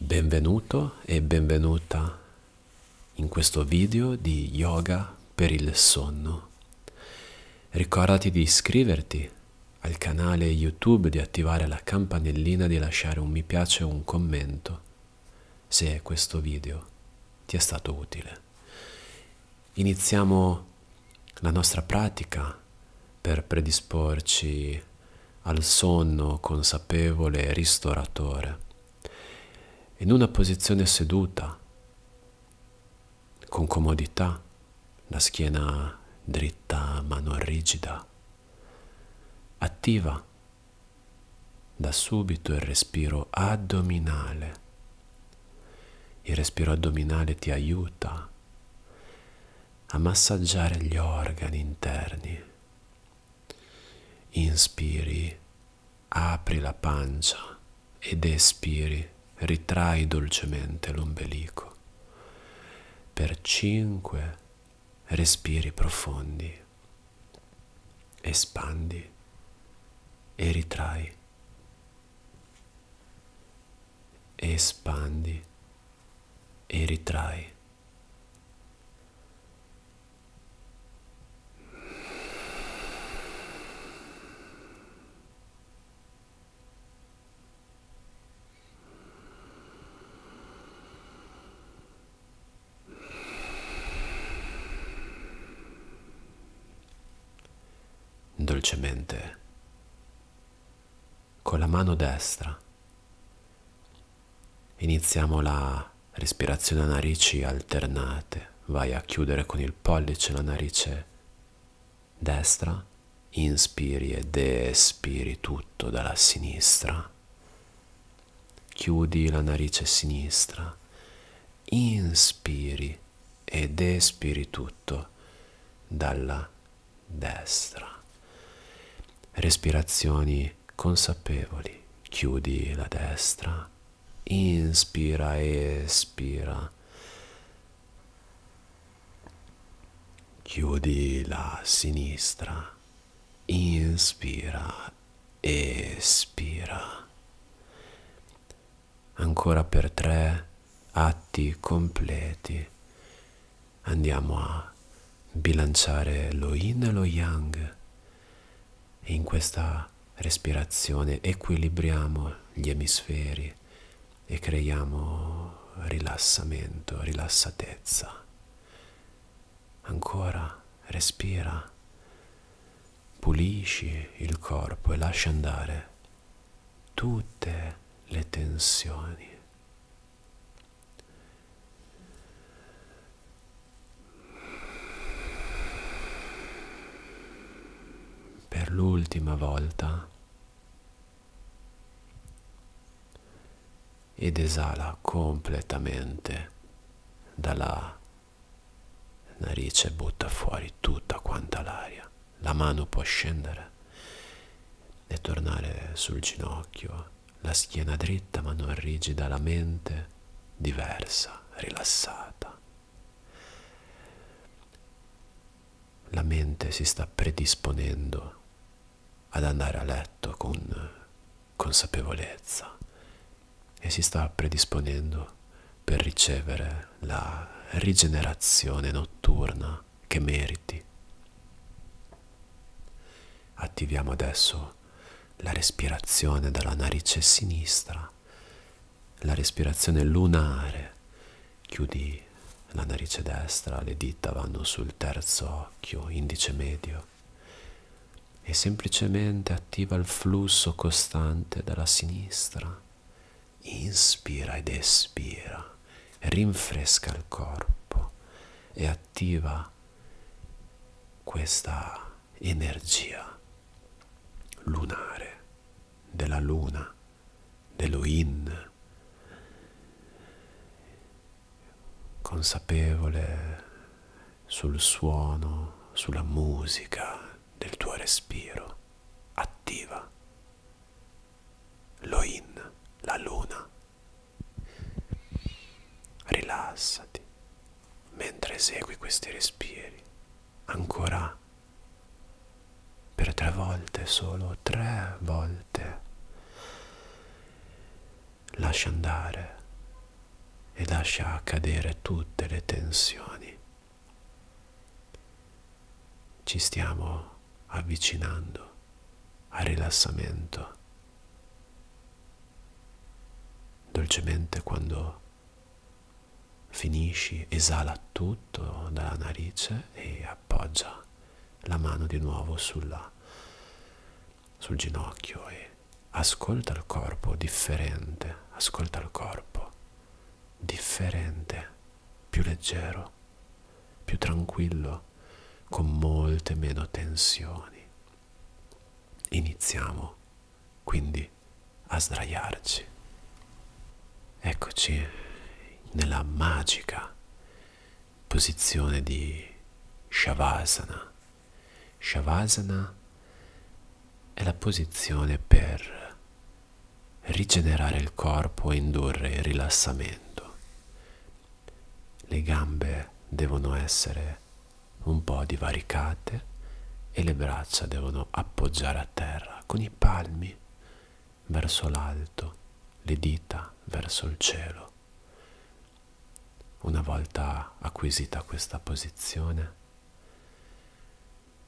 Benvenuto e benvenuta in questo video di yoga per il sonno. Ricordati di iscriverti al canale YouTube, di attivare la campanellina, di lasciare un mi piace e un commento se questo video ti è stato utile. Iniziamo la nostra pratica per predisporci al sonno consapevole e ristoratore. In una posizione seduta, con comodità, la schiena dritta ma non rigida, attiva da subito il respiro addominale. Il respiro addominale ti aiuta a massaggiare gli organi interni. Inspiri, apri la pancia ed espiri, ritrai dolcemente l'ombelico per 5 respiri profondi espandi e ritrai, espandi e ritrai. Dolcemente, con la mano destra, iniziamo la respirazione a narici alternate. Vai a chiudere con il pollice la narice destra, inspiri ed espiri tutto dalla sinistra chiudi la narice sinistra, inspiri ed espiri tutto dalla destra. Respirazioni consapevoli, chiudi la destra, inspira, espira. Chiudi la sinistra, inspira, espira. Ancora per tre atti completi andiamo a bilanciare lo yin e lo yang e in questa respirazione equilibriamo gli emisferi e creiamo rilassamento, rilassatezza ancora respira, pulisci il corpo e lascia andare tutte le tensioni. Per l'ultima volta ed esala completamente dalla narice butta fuori tutta quanta l'aria, la mano può scendere e tornare sul ginocchio, la schiena dritta ma non rigida, la mente diversa, rilassata. La mente si sta predisponendo ad andare a letto con consapevolezza e si sta predisponendo per ricevere la rigenerazione notturna che meriti. Attiviamo adesso la respirazione dalla narice sinistra, la respirazione lunare. Chiudi la narice destra, le dita vanno sul terzo occhio, indice medio, e semplicemente attiva il flusso costante dalla sinistra. Inspira ed espira, rinfresca il corpo e attiva questa energia lunare della luna, dello in, consapevole sul suono, sulla musica del tuo respiro. Attiva. Loin, la luna. Rilassati mentre esegui questi respiri. Ancora per tre volte, solo tre volte lascia andare e lascia cadere tutte le tensioni. Ci stiamo avvicinando al rilassamento. Dolcemente quando finisci esala tutto dalla narice e appoggia la mano di nuovo sulla sul ginocchio e ascolta il corpo differente, ascolta il corpo differente, più leggero, più tranquillo, con molte meno tensioni. Iniziamo quindi a sdraiarci. Eccoci nella magica posizione di Shavasana Shavasana è la posizione per rigenerare il corpo e indurre il rilassamento. Le gambe devono essere un po' divaricate e le braccia devono appoggiare a terra con i palmi verso l'alto, le dita verso il cielo. Una volta acquisita questa posizione,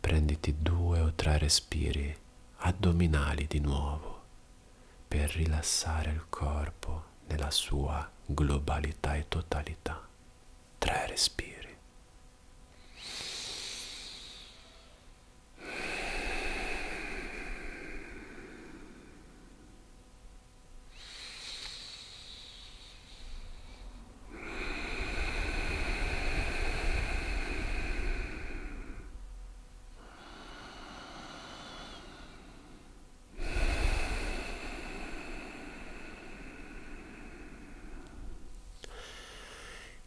prenditi due o tre respiri addominali di nuovo per rilassare il corpo nella sua globalità e totalità. Tre respiri.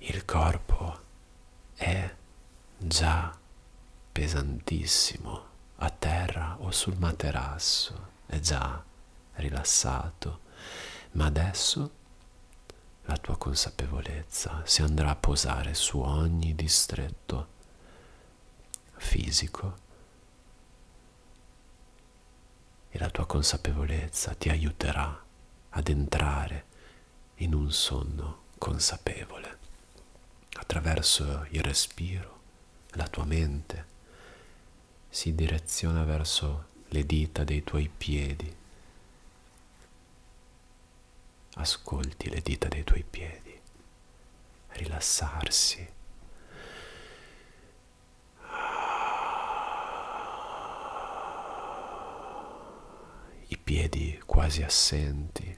Il corpo è già pesantissimo a terra o sul materasso è già rilassato, ma adesso la tua consapevolezza si andrà a posare su ogni distretto fisico e la tua consapevolezza ti aiuterà ad entrare in un sonno consapevole attraverso il respiro, la tua mente si direziona verso le dita dei tuoi piedi. Ascolti le dita dei tuoi piedi rilassarsi. I piedi quasi assenti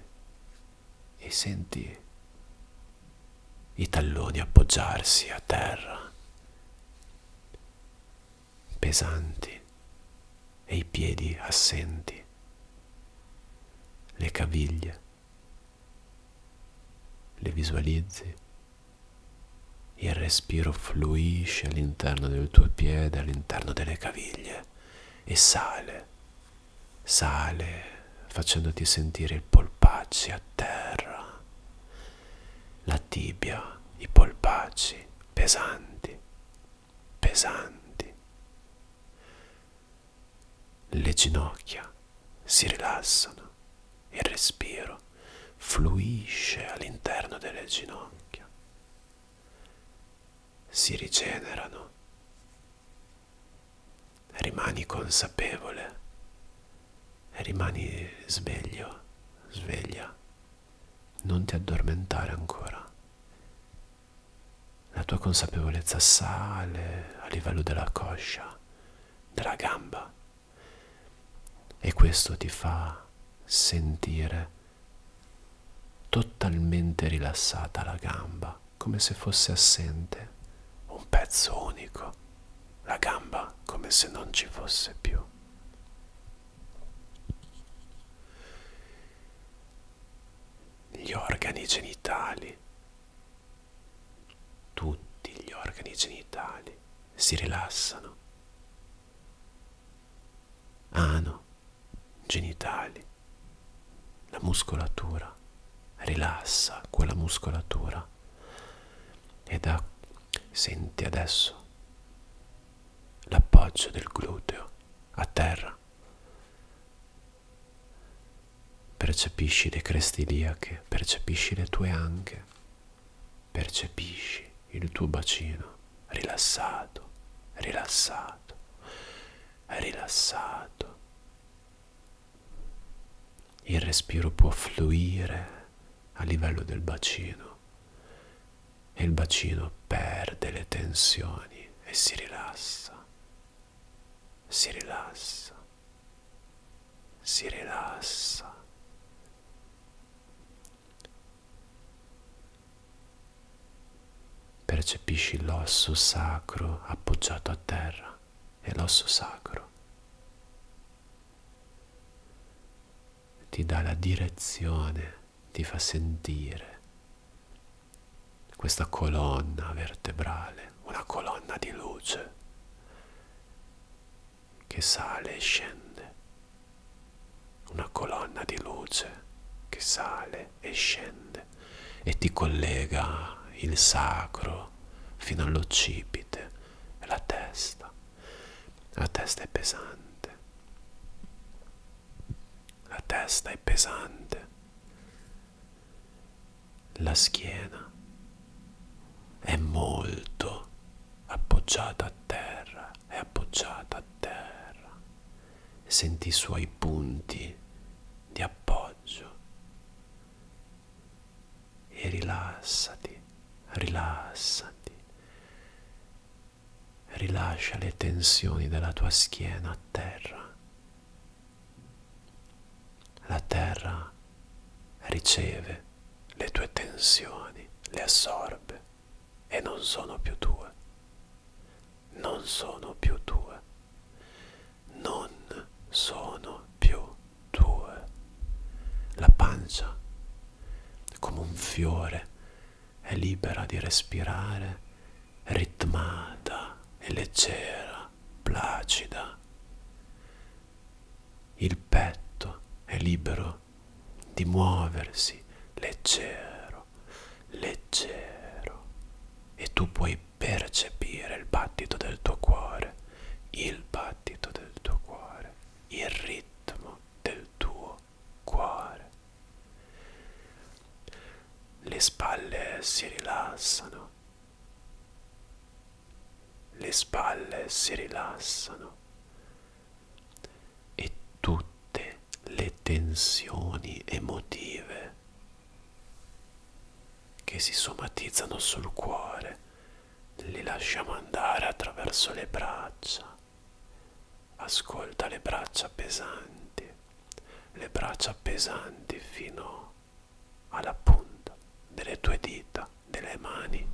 e senti i talloni appoggiarsi a terra, pesanti e i piedi assenti, le caviglie, le visualizzi, il respiro fluisce all'interno del tuo piede, all'interno delle caviglie e sale, sale facendoti sentire il polpacci a terra, la tibia, i polpacci pesanti, pesanti. Le ginocchia si rilassano, il respiro fluisce all'interno delle ginocchia, si rigenerano rimani consapevole, rimani sveglio, sveglia, non ti addormentare ancora. La tua consapevolezza sale a livello della coscia, della gamba e questo ti fa sentire totalmente rilassata la gamba come se fosse assente, un pezzo unico, la gamba come se non ci fosse più. Gli organi genitali, tutti gli organi genitali si rilassano. Ano, genitali, la muscolatura rilassa quella muscolatura prima e da senti adesso l'appoggio del gluteo a terra percepisci le creste iliache percepisci le tue anche percepisci il tuo bacino rilassato rilassato rilassato il respiro può fluire a livello del bacino e il bacino perde le tensioni e si rilassa, si rilassa, si rilassa. Percepisci l'osso sacro appoggiato a terra e l'osso sacro. Ti dà la direzione, ti fa sentire questa colonna vertebrale, una colonna di luce che sale e scende, una colonna di luce che sale e scende e ti collega il sacro fino, fino all'occipite e la testa. La testa è pesante. La testa è pesante. La schiena è molto appoggiata a terra, è appoggiata a terra. Senti i suoi punti di appoggio e rilassati, rilassati. Rilascia le tensioni della tua schiena a terra. La terra riceve le tue tensioni, le assorbe e non sono più tue. Non sono più tue. Non sono più due, la pancia come un fiore è libera di respirare, ritmata e leggera, placida. Il petto è libero di muoversi, leggero, leggero, e tu puoi percepire il battito del tuo cuore, il battito del tuo cuore, il ritmo del tuo cuore. Le spalle si rilassano, le spalle si rilassano e tutte le tensioni emotive che si somatizzano sul cuore, li lasciamo andare attraverso le braccia. Ascolta le braccia pesanti, le braccia pesanti fino alla punta delle tue dita, delle mani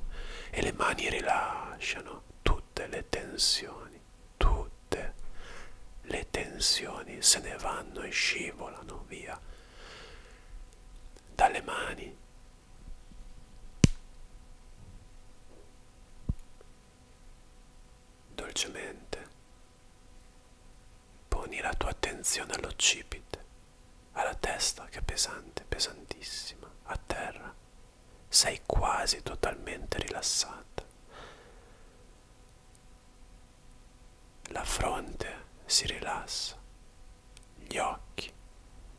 e le mani rilasciano tutte le tensioni, tutte le tensioni se ne vanno e scivolano via dalle mani. Dolcemente poni la tua attenzione all'occipite, alla testa che è pesante, pesantissima, a terra. Sei quasi totalmente rilassata. La fronte si rilassa, gli occhi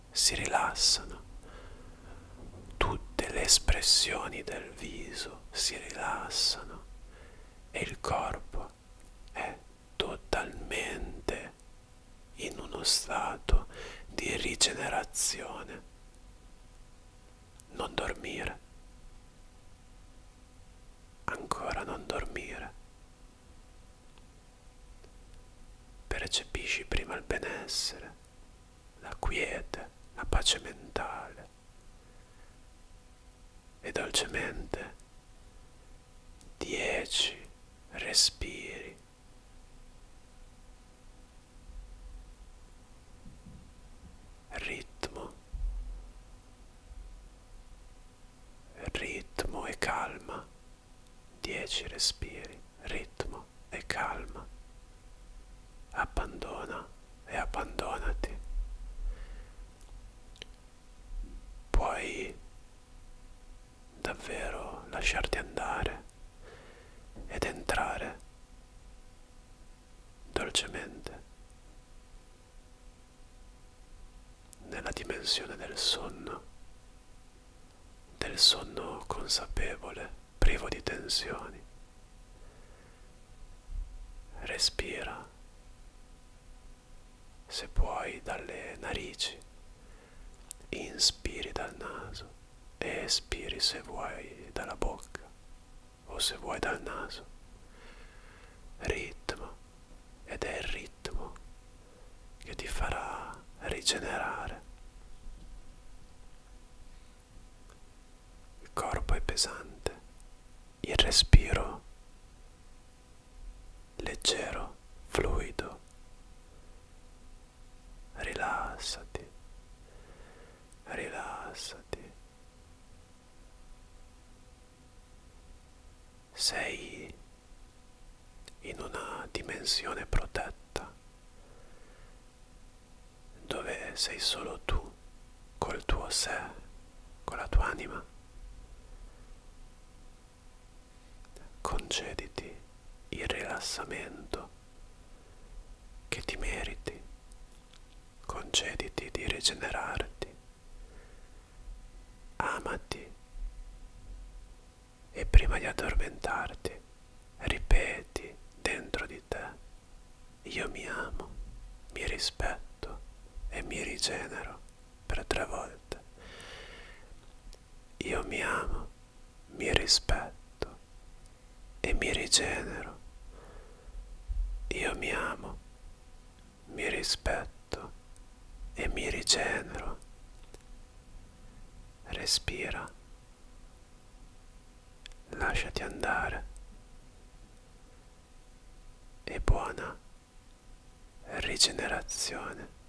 si rilassano, tutte le espressioni del viso si rilassano e il corpo è totalmente in uno stato di rigenerazione. Non dormire. Ancora non dormire. Percepisci prima il benessere, la quiete, la pace mentale e dolcemente dieci respiri. Ritmo ritmo e calma. 10 respiri, ritmo e calma. Abbandona e abbandonati. Puoi davvero lasciarti andare ed entrare dolcemente nella dimensione del sonno, del sonno consapevole, privo di tensioni. Respira, se puoi, dalle narici, inspiri dal naso e espiri se vuoi dalla bocca o se vuoi dal naso. Ritmo ed è il ritmo che ti farà rigenerare. Il corpo è pesante, il respiro leggero, fluido. Rilassati, rilassati, sei in una dimensione protetta dove sei solo tu col tuo sé, con la tua anima. Concediti il rilassamento che ti meriti, concediti di rigenerarti, amati e prima di addormentarti ripeti dentro di te io mi amo, mi rispetto e mi rigenero per tre volte. Io mi amo, mi rispetto e mi rigenero. Io mi amo, mi rispetto e mi rigenero. Respira, lasciati andare e buona rigenerazione.